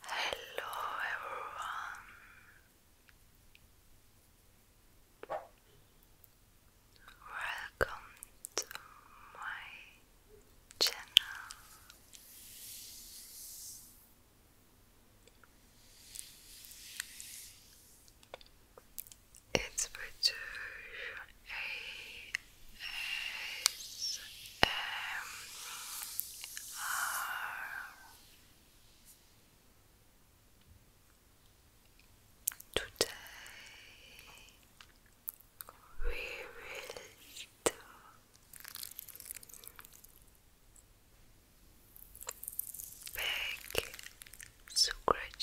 Hello, everyone. Welcome to my channel. It's British ASMR. Today we will talk back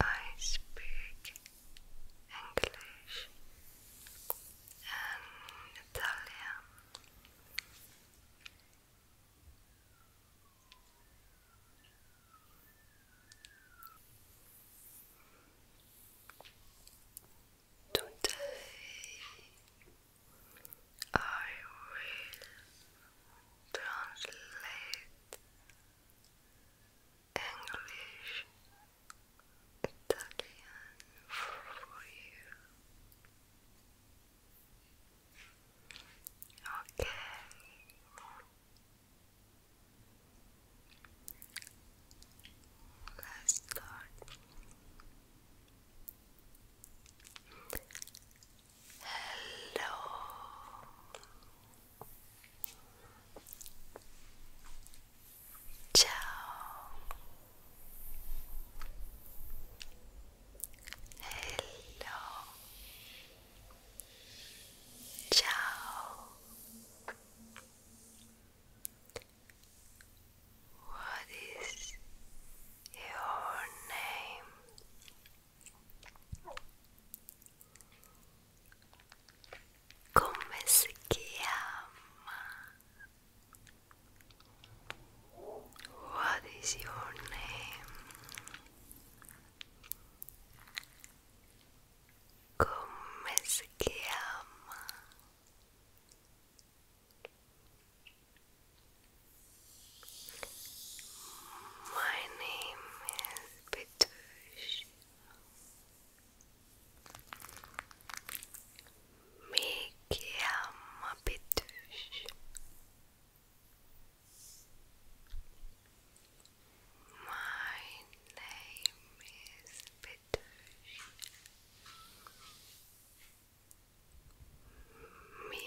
I speak English and Italian. Today I will translate English, Italian for you. Okay. Let's start. Hello. Ciao. Hello. Ciao. What is your name? Come si chiama? What is your name? Come si chiama? My name is Petush. Mi chiama Petush. My name is Petush. Mi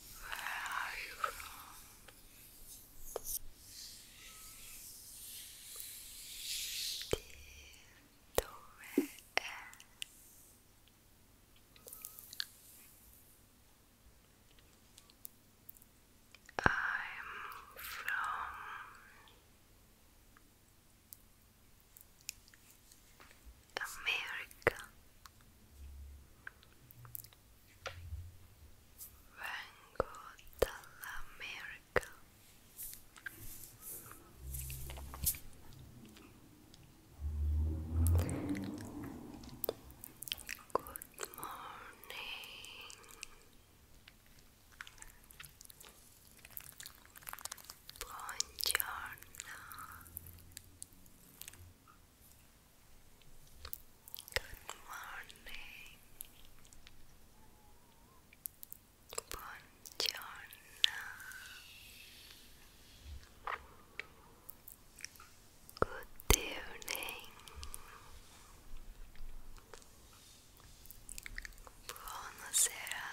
Where are you from? Dear I'm from America Rango dell'America Good morning Buongiorno. Good morning. Buongiorno. Good evening. Buonasera.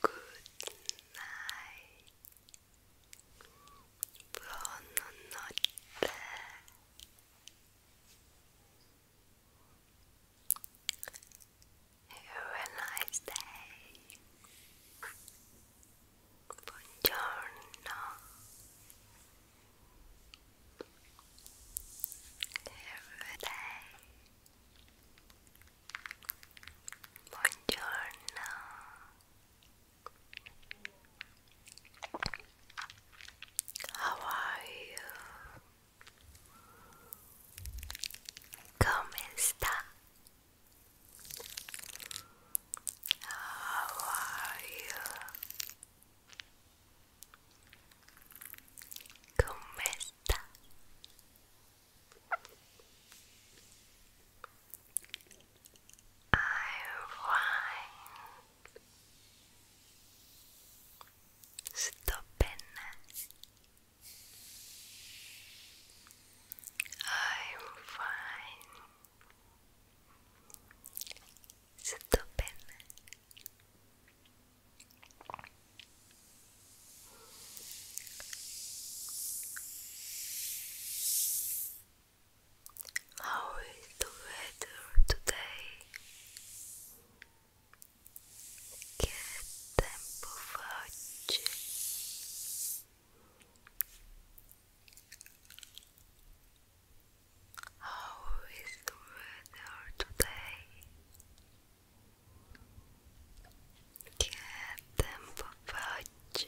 Good night. Buona Have a nice day. Buongiorno. Have a day. Buongiorno. How are you? Come sta? How are you? Come está. I find stupendous. I find stupendous. How is the weather today? Che tempo How is the weather today? Quedam powodzi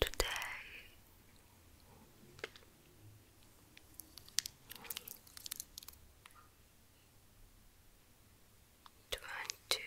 Today Twenty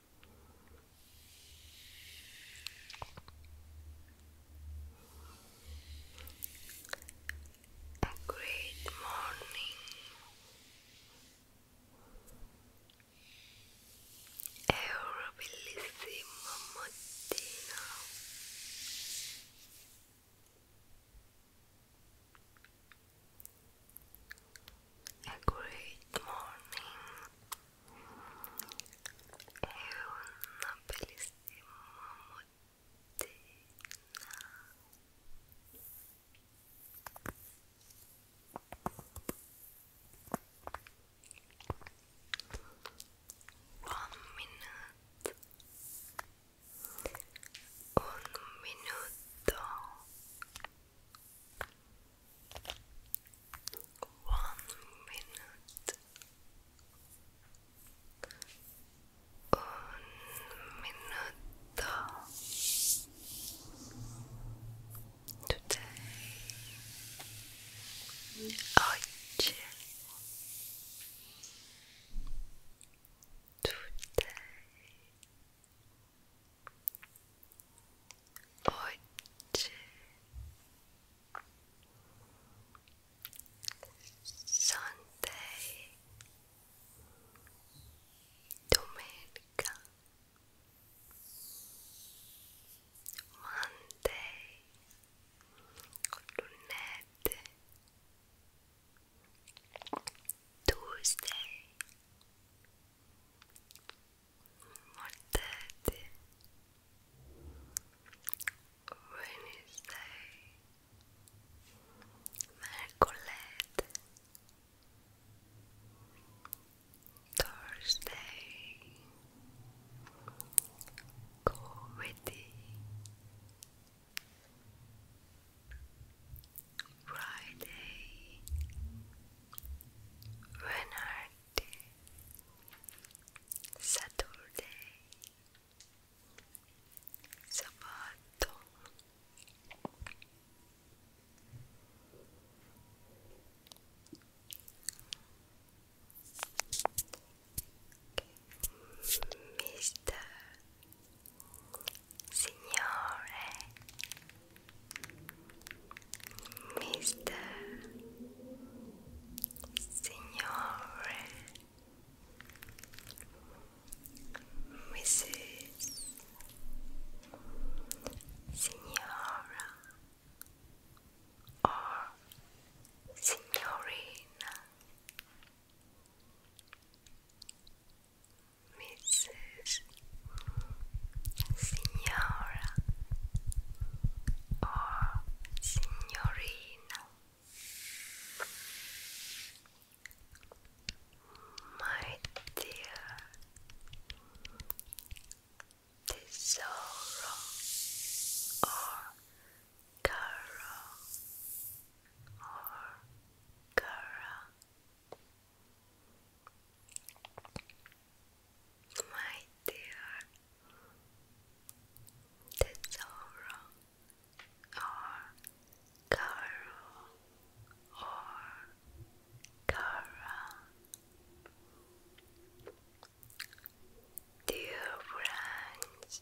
A great morning. È una bellissima mattina a great morning e una bellissima mattina one minute un minuto one minute. Un minuto. Today. Oggi. Today oito, Sunday, Domenica, Monday, Lunette. Tuesday, one thirty, Wednesday, Mercolet, Thursday, comedy. Friday, Wednesday, Saturday, Sunday, Okay. Mr. Signore Mister Signore Mrs Signora or Signorina Mrs. Signora or Signorina. My dear Tesoro or Kara or Kara. My dear Tesoro or Caro or Cara Dear friends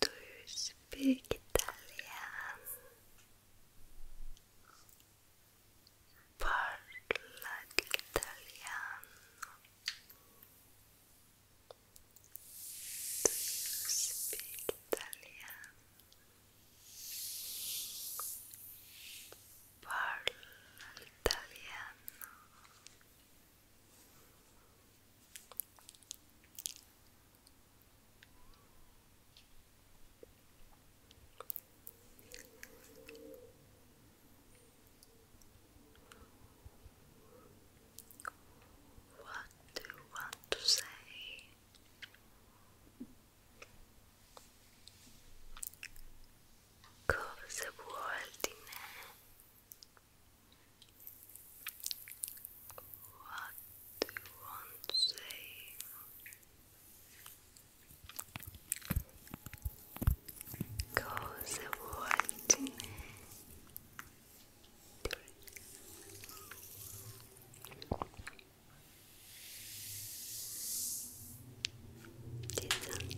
Do you speak Italian? Parla italiano. Do you Italian? Parla italiano. What do you want to say? Cover the world in what do you want to say? Cosa vuol dire?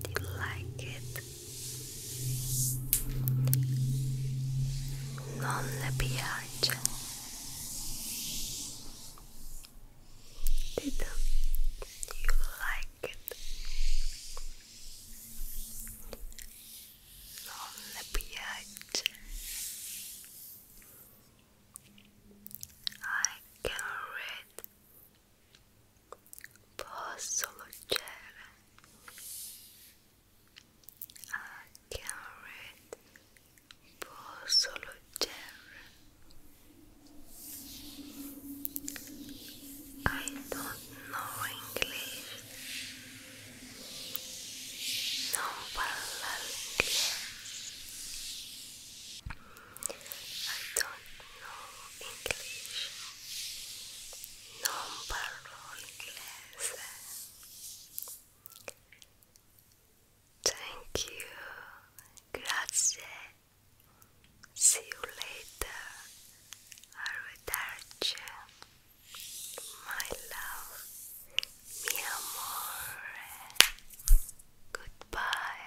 you like it? non la pioggia did you like it? non la pioggia I can read posso leggere I can read posso leggere I don't know English non parlo English I don't know English number one class. Thank you. Grazie. See you later. Arrivederci. My love. Mi amore. Goodbye.